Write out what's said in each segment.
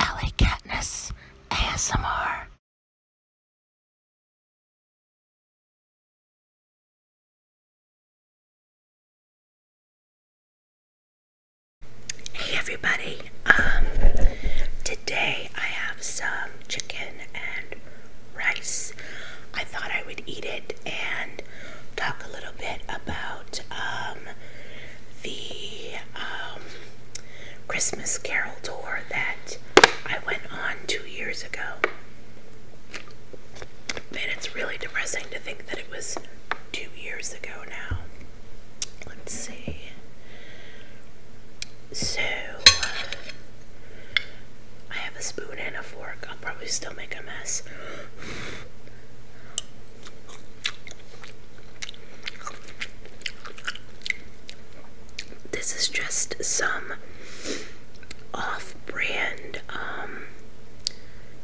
Ellie ASMR. Hey everybody, um, today I have some chicken and rice. I thought I would eat it and talk a little bit about um, the um, Christmas Carol tour that I went on two years ago. And it's really depressing to think that it was two years ago now. Let's see. So, uh, I have a spoon and a fork. I'll probably still make a mess. This is just some off brand, um,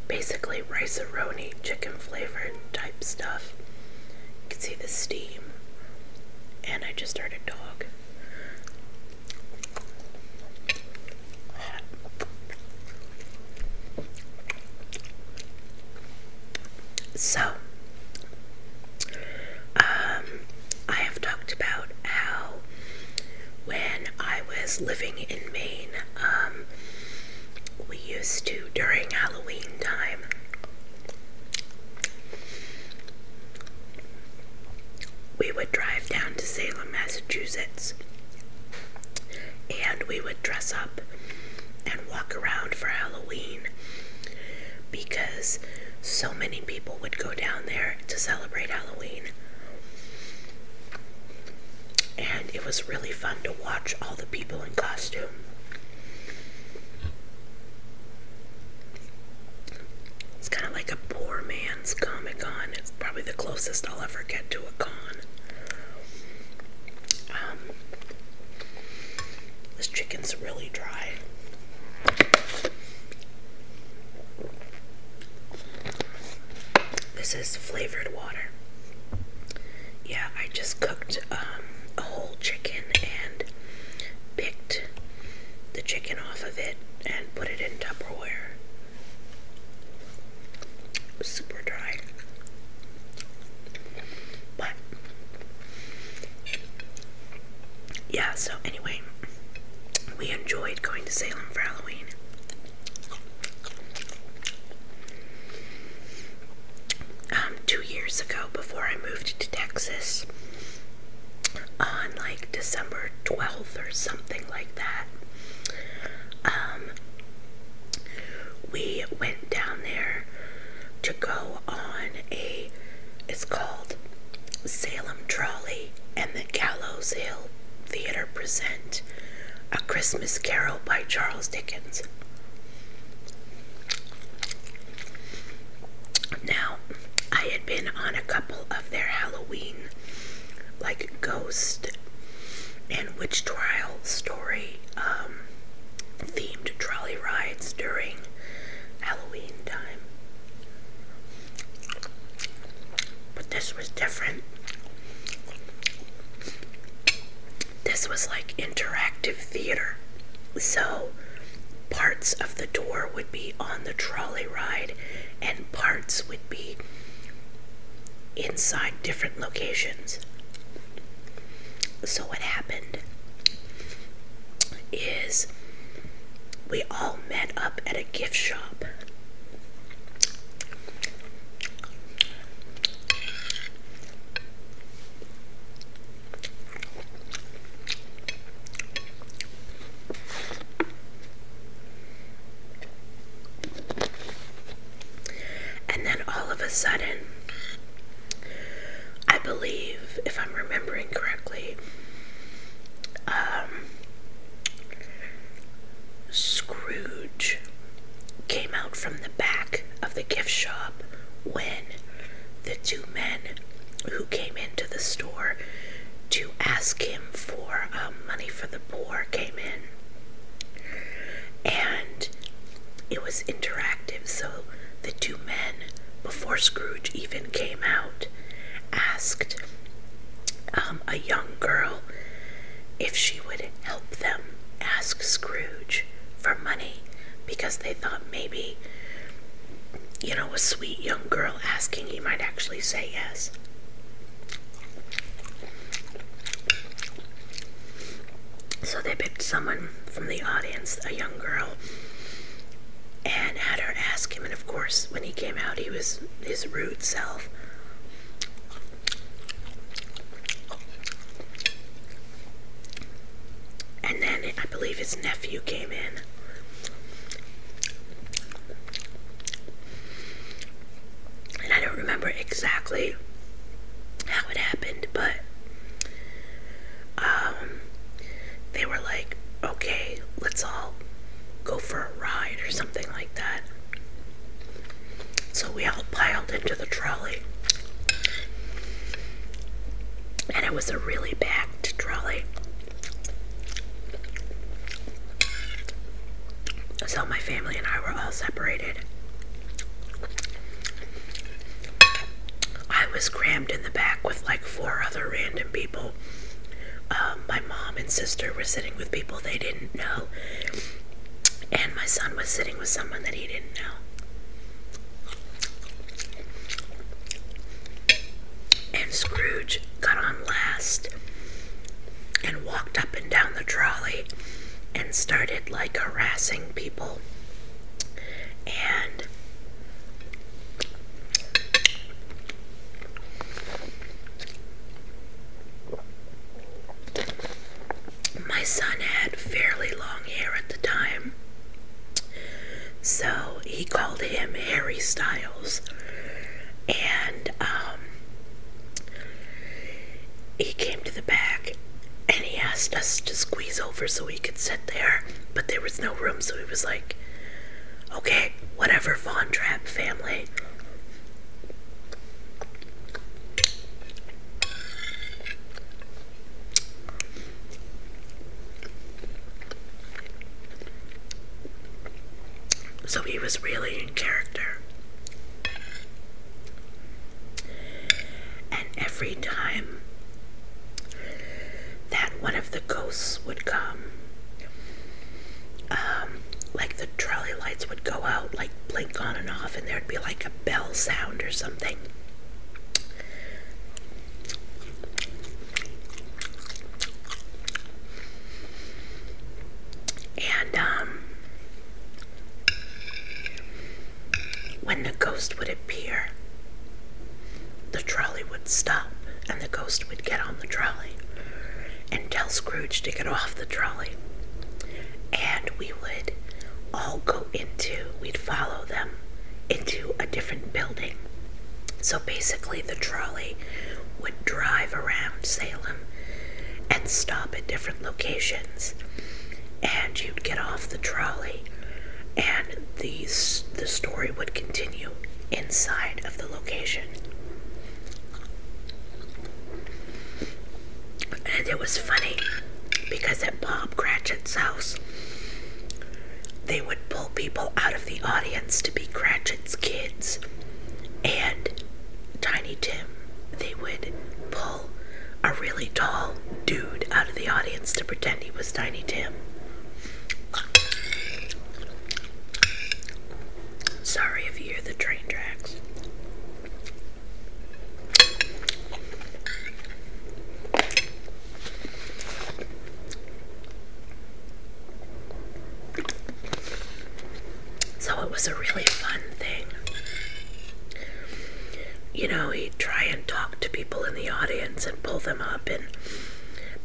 basically rice -a chicken flavored type stuff. You can see the steam, and I just heard a dog. So, um, I have talked about how when I was living in Maine, um, we used to, during Halloween time, we would drive down to Salem, Massachusetts, and we would dress up and walk around for Halloween because so many people would go down there to celebrate Halloween. And it was really fun to watch all the people in costume. It's kind of like a poor man's Comic Con. It's probably the closest I'll ever get to a con. Um, this chicken's really dry. This is flavored water. Yeah, I just cooked um, a whole chicken and picked the chicken off of it and put it in Tupperware super dry. But yeah, so anyway, we enjoyed going to Salem for Halloween. Um, two years ago, before I moved to Texas, on like December 12th or something like that, um, we went down there to go on a, it's called Salem Trolley and the Gallows Hill Theater present A Christmas Carol by Charles Dickens. Now, I had been on a couple of their Halloween like ghost and witch trial story um, themed trolley rides during Halloween time. But this was different. This was like interactive theater. So parts of the door would be on the trolley ride and parts would be inside different locations. So, what happened is we all met up at a gift shop. And then all of a sudden, I believe, if I'm remembering correctly, um, Scrooge came out from the back of the gift shop when the two men who came into the store to ask him for um, money for the poor came in. And it was interactive, so the two men, before Scrooge even came out, asked um, a young girl if she would help them ask Scrooge for money because they thought maybe, you know, a sweet young girl asking, he might actually say yes. So they picked someone from the audience, a young girl, and had her ask him. And of course, when he came out, he was his rude self. And then I believe his nephew came in. And I don't remember exactly how it happened, but um, they were like, okay, let's all go for a ride or something like that. So we all piled into the trolley. And it was a really packed trolley. So my family and I were all separated. I was crammed in the back with like four other random people. Um, my mom and sister were sitting with people they didn't know, and my son was sitting with someone that he didn't know and Scrooge got on last and walked up and down the trolley and started like harassing people. And my son had fairly long hair at the time, so he called him Harry Styles, and um, he came to the back and he asked us to squeeze over so he could sit there, but there was no room, so he was like, "Okay, whatever, Von Trapp family." So he was really in character. And every time that one of the ghosts would come, um, like the trolley lights would go out, like blink on and off, and there'd be like a bell sound or something. And um, when the ghost would appear, the trolley would stop and the ghost would get on the trolley and tell Scrooge to get off the trolley. And we would all go into, we'd follow them into a different building. So basically, the trolley would drive around Salem and stop at different locations, and you'd get off the trolley, and the, the story would continue inside of the location. And it was funny because at Bob Cratchit's house, they would pull people out of the audience to be Cratchit's kids. And Tiny Tim, they would pull a really tall dude out of the audience to pretend he was Tiny Tim. Sorry if you hear the train tracks. So it was a really fun thing. You know, he'd try and talk to people in the audience and pull them up and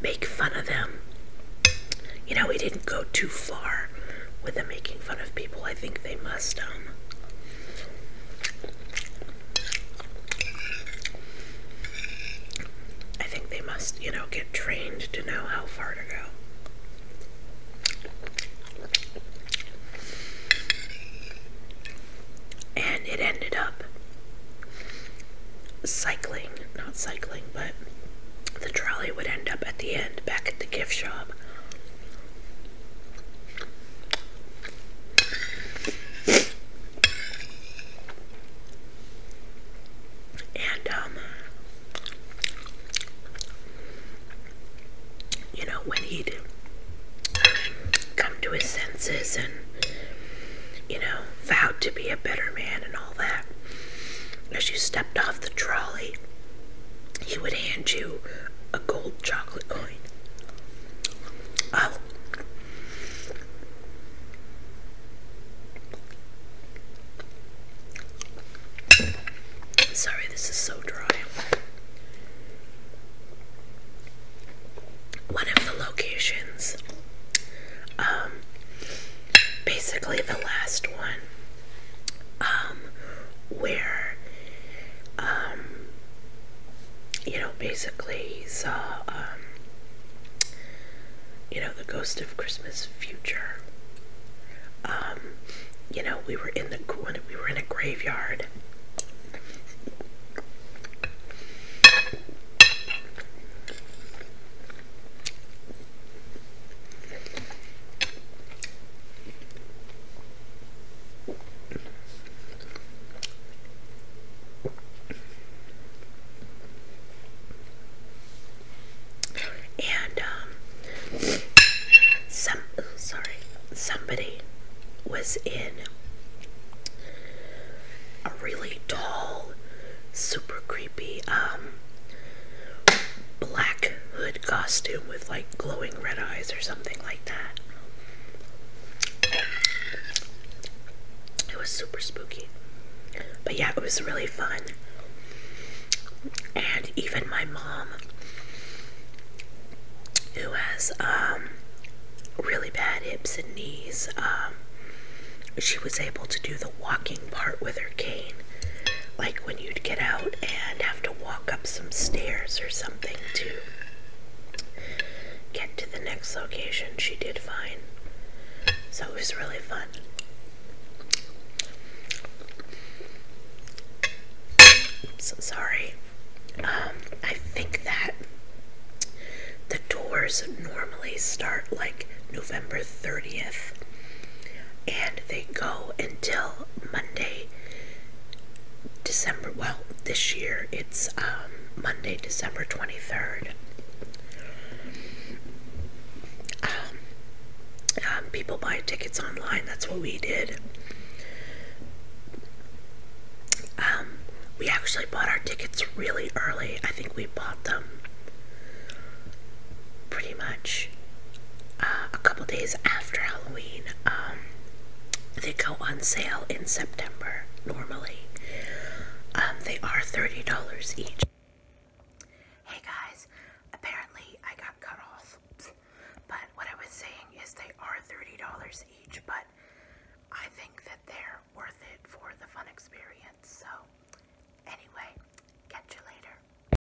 make fun of them. You know, he didn't go too far with the making fun of people. I think they must, um, I think they must, you know, get trained to know how far to go. And it ended up cycling, not cycling, but the trolley would end up at the end back at the gift shop. And, um, you know, when he'd come to his senses and, you know, vowed to be a better man and all that, as you stepped off the trolley, he would hand you a gold chocolate coin. Um, sorry, this is so dry. One of the locations, um, basically the last one, um, where um, you know, basically saw, um, you know, the Ghost of Christmas Future. Um, you know, we were in the we were in a graveyard. And um, some sorry, somebody was in a really tall, super creepy um black hood costume with like glowing red eyes or something like that. It was super spooky. But yeah, it was really fun. And even my mom, who has um, really bad hips and knees, um, she was able to do the walking part with her cane. Like when you'd get out and have to walk up some stairs or something to get to the next location. She did fine. So it was really fun. So sorry. Um, I think that the tours normally start like November 30th and they go until Monday, December, well, this year it's um, Monday, December 23rd. Um, um, people buy tickets online, that's what we did. we actually bought our tickets really early. I think we bought them pretty much uh, a couple days after Halloween. Um, they go on sale in September normally. Um, they are $30 each. Hey guys, apparently I got cut off, but what I was saying is they are $30 each, but I think that they're worth it for the fun experience. So, anyway, catch you later.